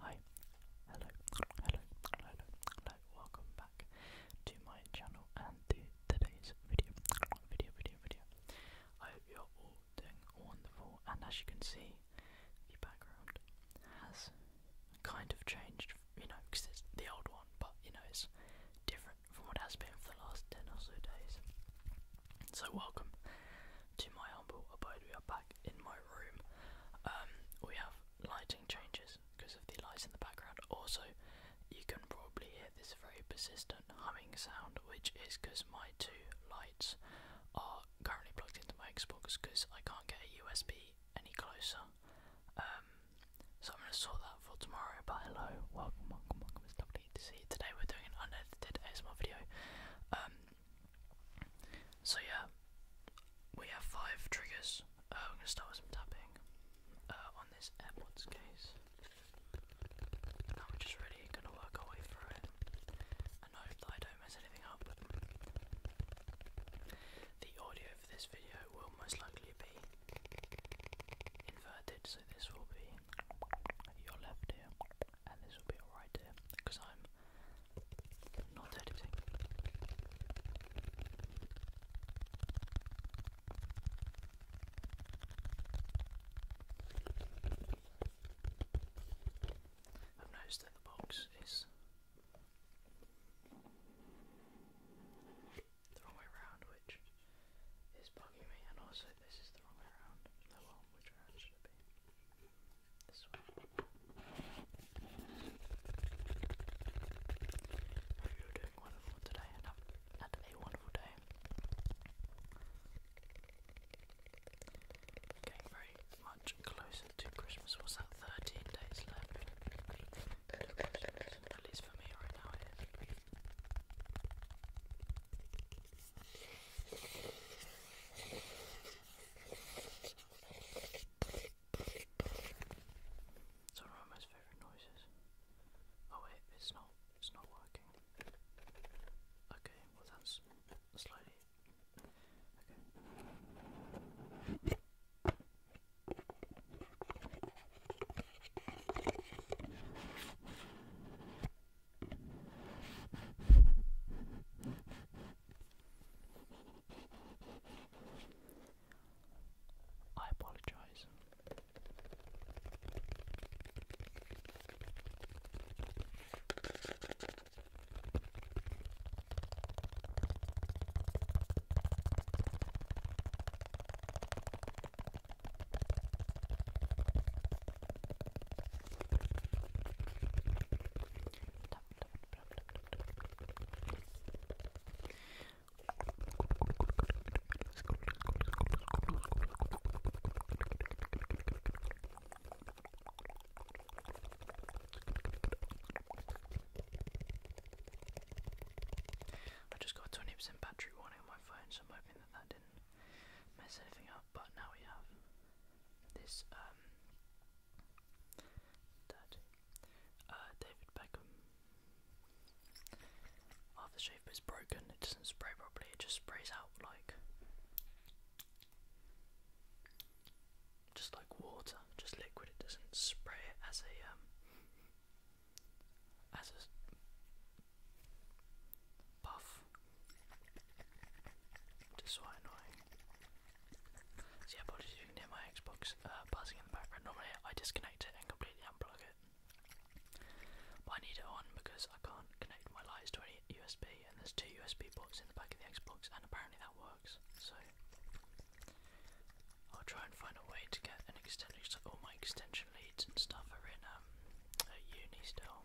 Hi, hello, hello, hello, hello, welcome back to my channel and to today's video. Video, video, video. I hope you're all doing wonderful, and as you can see, the background has kind of changed, you know, because it's the old one, but you know, it's different from what has been for the last 10 or so days. So, welcome to my humble abode. We are back in my room. Um, we have lighting changes because of the lights in the background. Also, you can probably hear this very persistent humming sound, which is because my two lights are currently plugged into my Xbox because I can't get a USB any closer. Um, so I'm going to sort that for tomorrow. But hello, welcome, welcome, welcome. It's lovely to see you. Today we're doing an unedited ASMR video. Um, so yeah, we have five triggers. Uh, I'm going to start with some tapping uh, on this AirPods case. I'm just really gonna work our way through it and hope that I don't mess anything up. The audio for this video will most likely be inverted, so this will be your left ear and this will be your right ear because I'm not editing. I've noticed that the box is the wrong way around, which is bugging me, and also this is the wrong way around. Oh well, which round should be? This way doing wonderful today and have had a wonderful day. Getting very much closer to Christmas. What's that? Thirteen days left. At least for me right now It's one of my most favourite noises. Oh wait, it's not it's not working. Okay, well that's slightly okay. I apologize. I just got 20% battery warning on my phone, so I'm hoping that that didn't mess anything up. But now we have this, um, uh, David Beckham. Aftershave is broken, it doesn't spray properly, it just sprays out like. Just like water, just liquid, it doesn't spray it as a. Um, as a puff. Just so annoying. So apologies if you can hear my Xbox uh, buzzing in the background. Normally I disconnect it and completely unplug it. But I need it on because I can't connect my lights to any USB and there's two USB ports in the back of the Xbox and apparently that works. So I'll try and find a way to get an extension so all my extension leads and stuff are in um at uni still.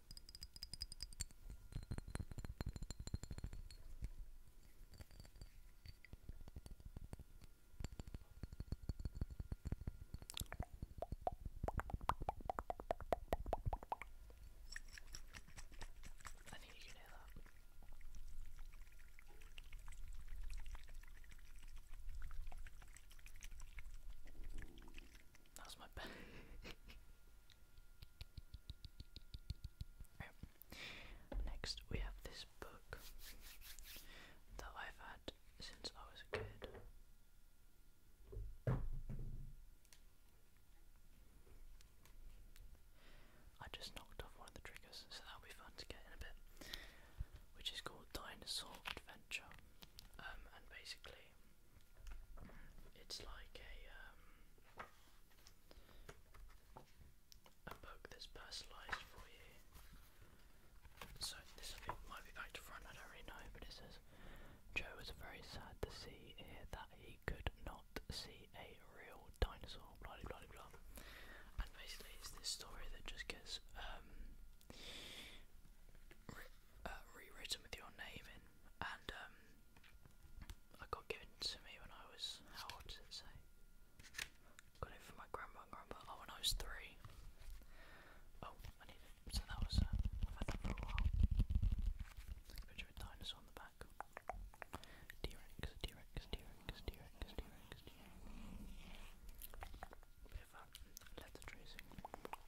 I think you can hear that. That's my best. Next, we have this book that I've had since I was a kid. I just knocked off one of the triggers, so that'll be fun to get in a bit. Which is called Dinosaur Adventure, um, and basically it's like a um, a book that's personalised for you. So this I think might be back to front. I don't really know, but it says Joe was very sad to see here that he could not see a real dinosaur. Blah blah blah blah. And basically, it's this story that just gets um, uh, rewritten with your name in, and um, I got given to me when I was how old does it say? Got it from my grandma and grandpa. Oh, when I was three. Oh, I need it. So that was. Uh, have had that for a while. Picture a dinosaur on the back. T Rex, T Rex, T Rex, T Rex, T Rex, T Rex. Bit of that tracing.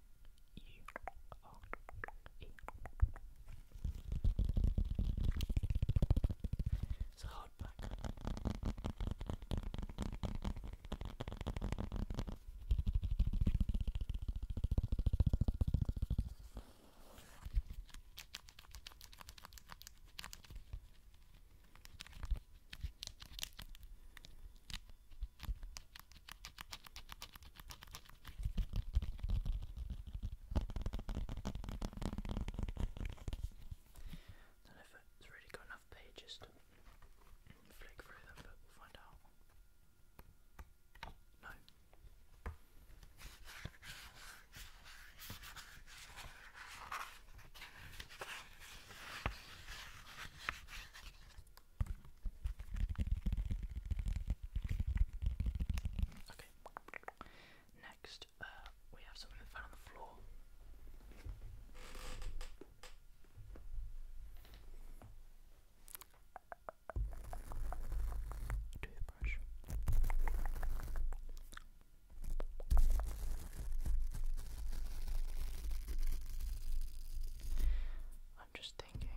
It's a hardback. Don't if it's really got enough pages flick through them, we'll find out. No. Okay. Next, uh, we have something that on the floor. Toothbrush. I'm just thinking.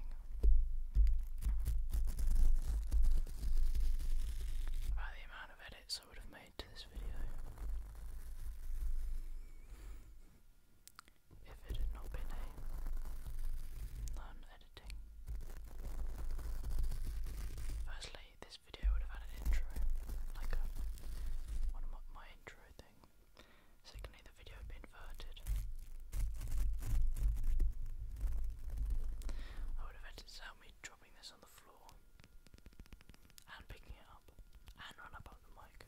About the amount of edits I would have made to this video if it had not been non editing. Firstly, this video would have had an intro, like one of my, intro thing. Secondly, the video had been inverted. I would have edited out me dropping this on the floor and picking it up and run up on the mic.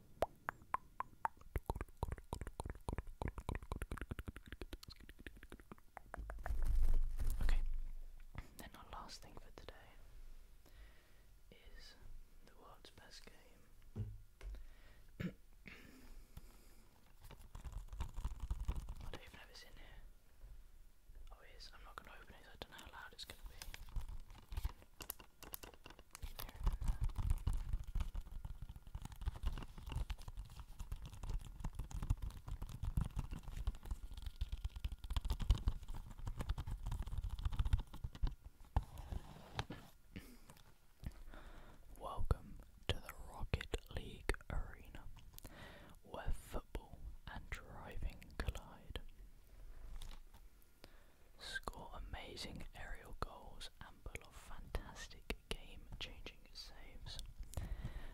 Okay, then our last thing for today is the world's best game. I don't even know if it's in here. Oh, it is. I'm not going to open it, I don't know how loud it's going to be. Welcome to the Rocket League Arena, where football and driving collide score amazing aerial goals and pull off fantastic game-changing saves.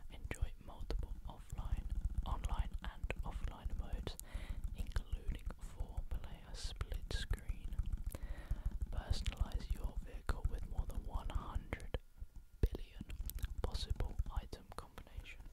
Enjoy multiple offline, online and offline modes, including four-player split screen. Personalize your vehicle with more than 100 billion possible item combinations.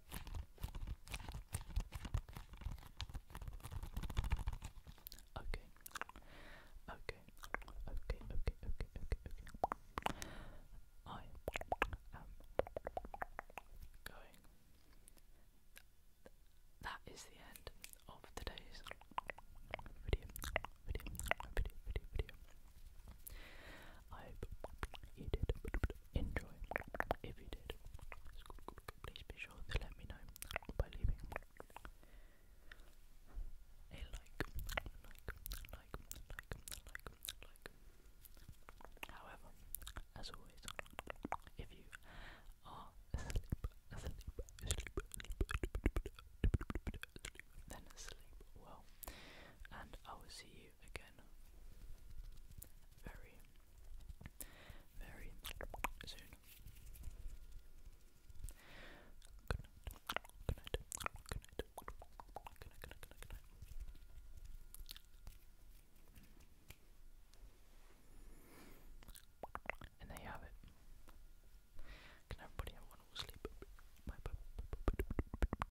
Okay. Okay. Okay. Okay. Okay. Okay. Okay. I am going. That is the end of today's video. Video. Video. Video. Video. I hope you did enjoy. If you did, please be sure to let me know by leaving a like, However, as always, if you are asleep, asleep, then sleep well, and I will see you again. Very, very soon. Good night. Good night. Good night. Good night. Good night. Good night. Good night. And there you have it. Can everybody have wonderful sleep? Bye bye.